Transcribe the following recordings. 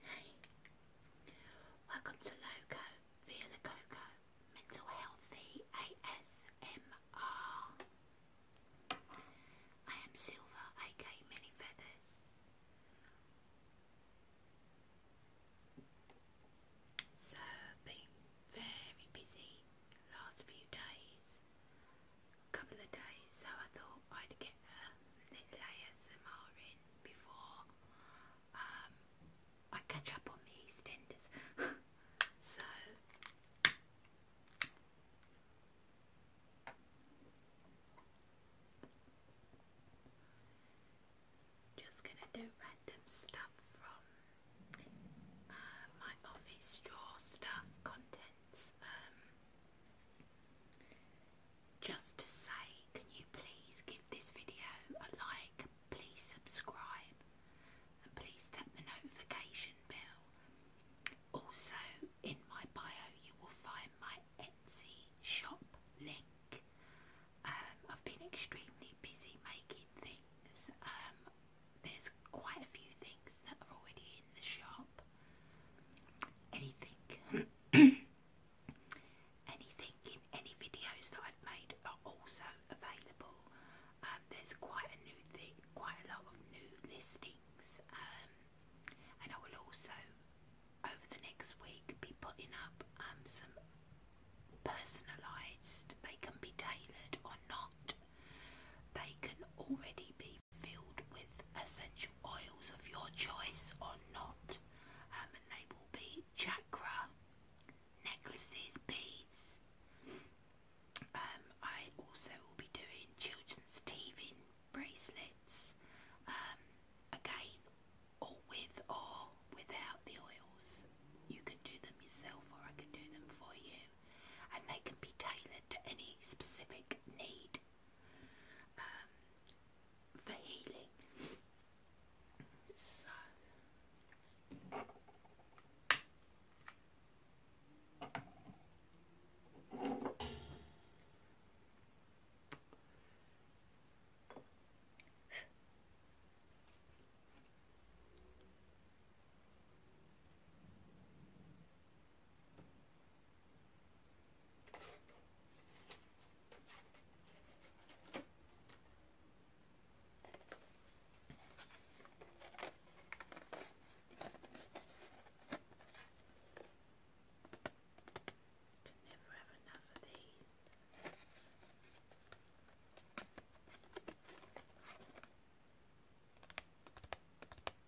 Hey, welcome to Loco, Via the Coco, Mental Healthy ASMR. I am Silver, aka Mini Feathers. So, been very busy last few days couple of days, so I thought I'd get a little layer ASMR in before um, I catch up on me EastEnders. so, just gonna do random stuff from uh, my office drawer stuff contents. Um, just to say, can you please give this video a like, please subscribe, and please tap the notification bell. Also, in my bio you will find my Etsy shop link. Um, I've been extremely busy making things. Um, there's quite a few things that are already in the shop anything. anything in any videos that I've made are also available. Um, there's quite a new thing, quite a lot of new listings, um, and I will also, over the next week, be putting up um, some personalised. They can be tailored or not. They can already be filled with essential oils of your choice or not. Um, and they will be chakra, necklaces, beads. Um, I also will be doing children's teething bracelets. Um, again, with or without the oils. You can do them yourself or I can do them for you. And they can be tailored to any specific need um, for healing. So can never have enough of these.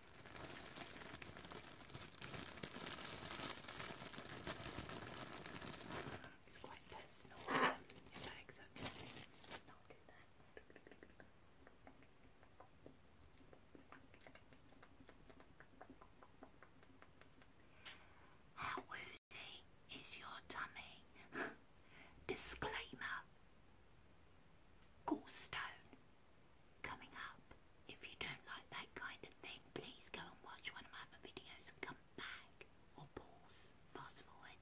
Um, How woozy is your tummy? Disclaimer. Gallstone coming up. If you don't like that kind of thing, please go and watch one of my other videos come back or pause, fast forward.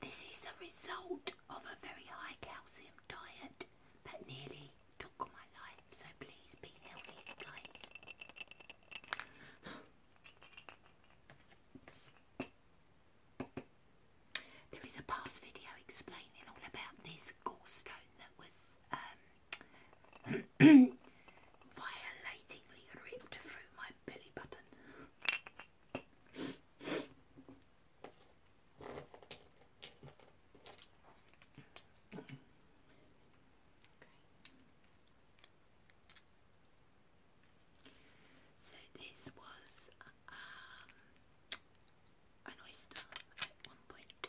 This is a result of a very high calcium diet that nearly took my life, so please be healthy, guys. There is a past video explaining all about this gallstone that was um, violatingly ripped through my belly button. Okay. So this was um, an oyster at one point.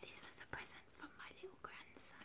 This was a present from my little grandson.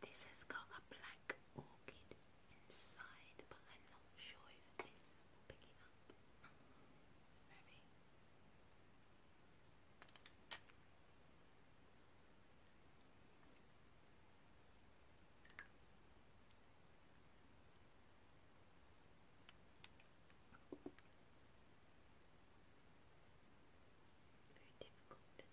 This has got a black orchid inside, but I'm not sure if this will pick it up. maybe. Very difficult to say. Comes out like it's very beautiful, luxurious. Sure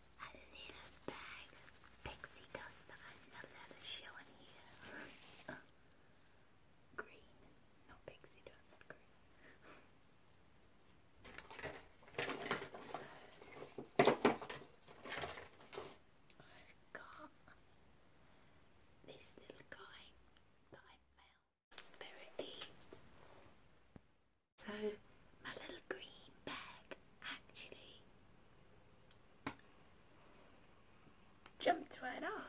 a little bag pixie dust that I'm not allowed to show in here. green, not pixie dust, green. so, I've got this little guy that I found. Prosperity. So my little green bag actually jumped right off.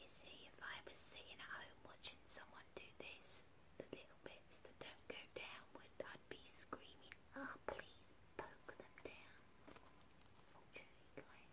You see, if I was sitting at home watching someone do this, the little bits that don't go downward, I'd be screaming, oh please poke them down. Unfortunately guys,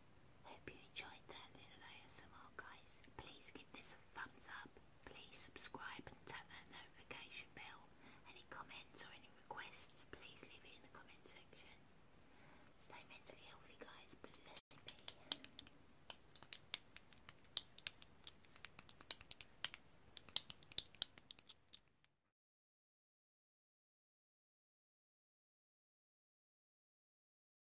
Hope you enjoyed that little ASMR guys. Please give this a thumbs up. Please subscribe and tap that notification bell. Any comments or any requests, please leave it in the comment section. Stay mentally healthy guys. Bless you.